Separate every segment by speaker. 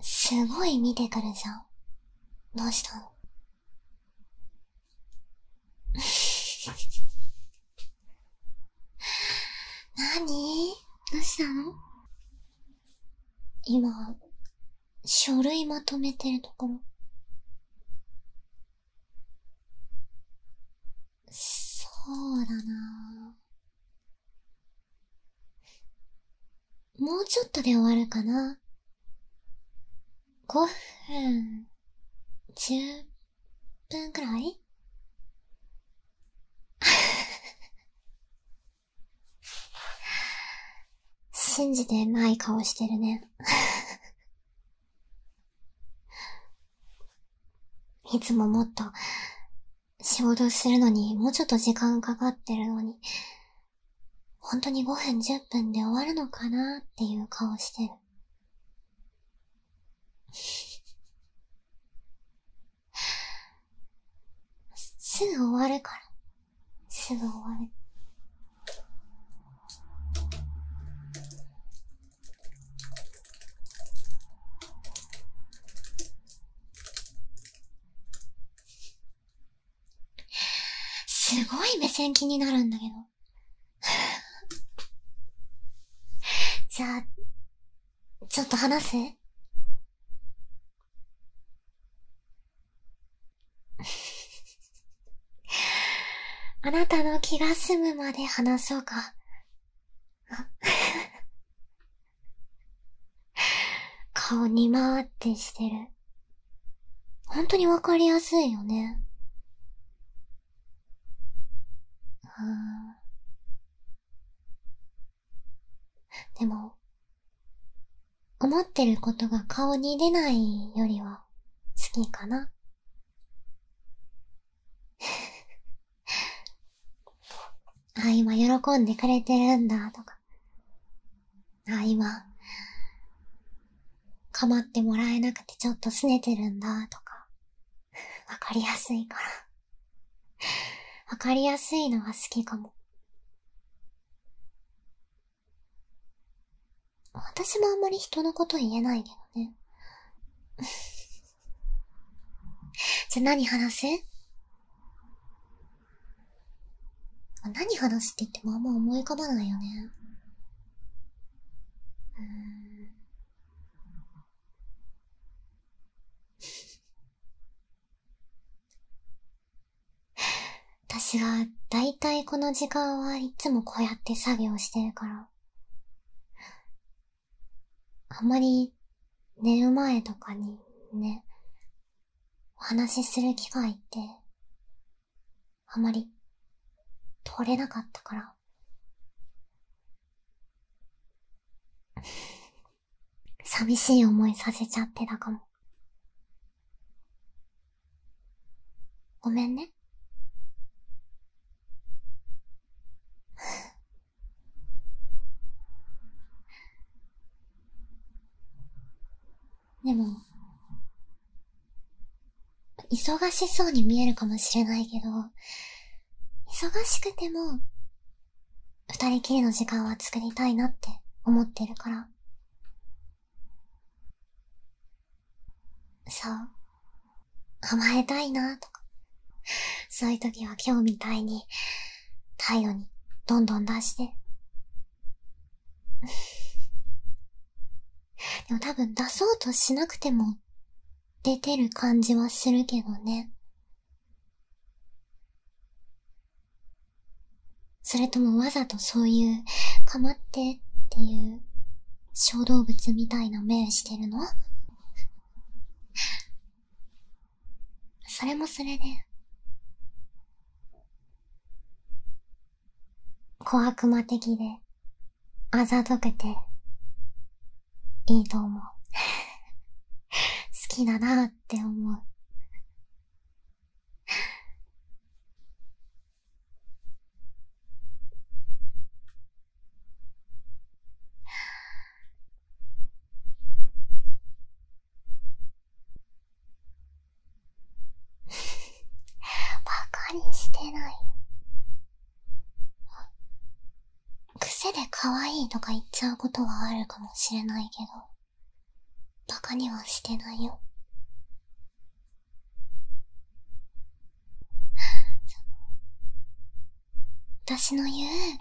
Speaker 1: すごい見てくるじゃん。どうしたのなにどうしたの今、書類まとめてるところ。そうだなもうちょっとで終わるかな。5分、10分くらい信じてない顔してるねいつももっと仕事するのにもうちょっと時間かかってるのに、本当に5分10分で終わるのかなっていう顔してる。すぐ終わるから。すぐ終わる。すごい目線気になるんだけど じゃあちょっと話す あなたの気が済むまで話そうか 顔にまーってしてる。ほんとにわかりやすいよね。でも、思ってることが顔に出ないよりは好きかな。あ、今喜んでくれてるんだ、とか。あ、今、構ってもらえなくてちょっと拗ねてるんだ、とか。わかりやすいから。わかりやすいのは好きかも。私もあんまり人のこと言えないけどね。じゃあ何話す何話すって言ってもあんま思い浮かばないよね。うん 私はだいたいこの時間はいつもこうやって作業してるから、あんまり寝る前とかにね、お話しする機会って、あんまり取れなかったから。寂しい思いさせちゃってたかも。ごめんね。でも、忙しそうに見えるかもしれないけど、忙しくても、二人きりの時間は作りたいなって思ってるから。そう。甘えたいなとか。そういう時は今日みたいに、態度にどんどん出して。でも多分出そうとしなくても出てる感じはするけどね。それともわざとそういう、かまってっていう、小動物みたいな目してるのそれもそれで、小悪魔的で、あざとくて、いいと思う。好きだなって思う。バカにしてない癖で可愛いとか言っちゃうことはあるかもしれないけどバカにはしてないよ。私の言う、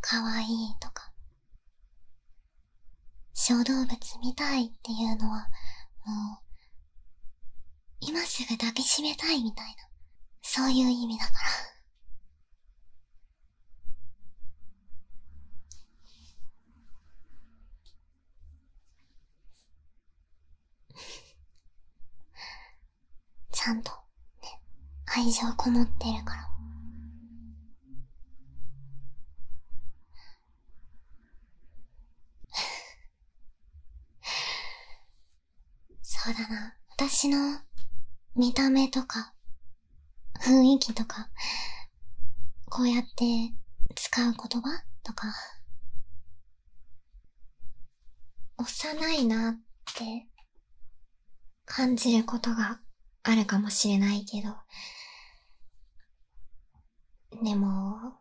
Speaker 1: かわいいとか、小動物みたいっていうのは、もう、今すぐ抱きしめたいみたいな、そういう意味だから。ちゃんとね、愛情こもってるから。そうだな。私の見た目とか雰囲気とか、こうやって使う言葉とか、幼いなって感じることがあるかもしれないけど、でも、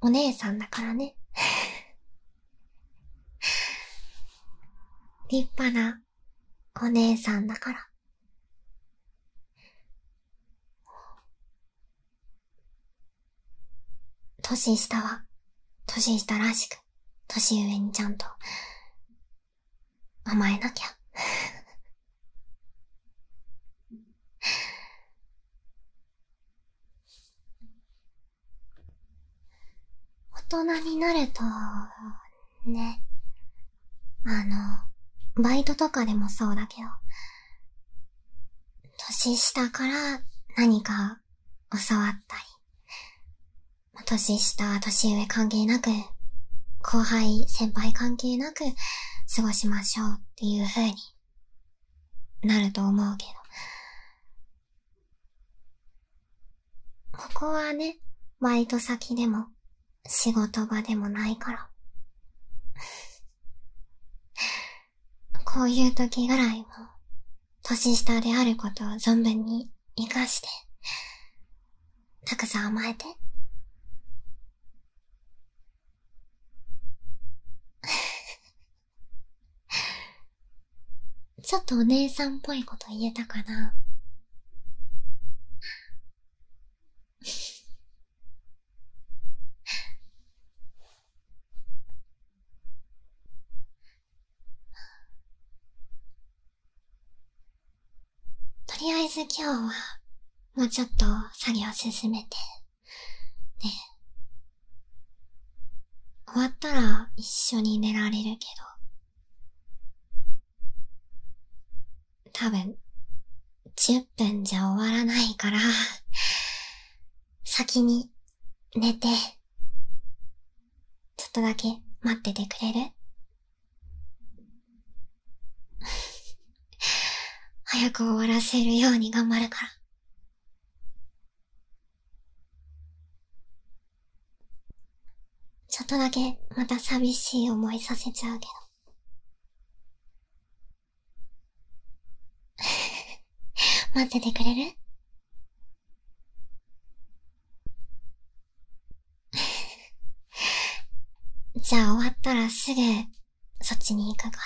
Speaker 1: お姉さんだからね立派なお姉さんだから。年下は、年下らしく、年上にちゃんと、甘えなきゃ。大人になると、ね。あの、バイトとかでもそうだけど、年下から何か教わったり、年下、年上関係なく、後輩、先輩関係なく過ごしましょうっていう風になると思うけど。ここはね、バイト先でも、仕事場でもないから。こういう時ぐらいは、年下であることを存分に生かして、たくさん甘えて。ちょっとお姉さんっぽいこと言えたかなとりあえず今日はもうちょっと作業進めて、ね、終わったら一緒に寝られるけど。多分、10分じゃ終わらないから、先に寝て、ちょっとだけ待っててくれる 早く終わらせるように頑張るから。ちょっとだけまた寂しい思いさせちゃうけど。待っててくれる じゃあ終わったらすぐそっちに行くから。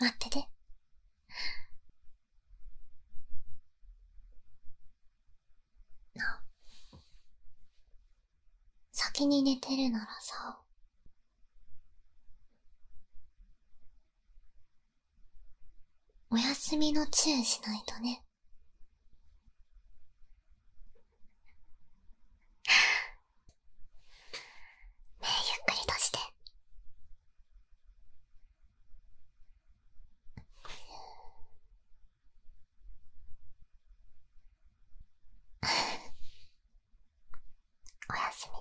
Speaker 1: 待ってて。な先に寝てるならさお休みのチュしないとねえゆっくりとして おやすみ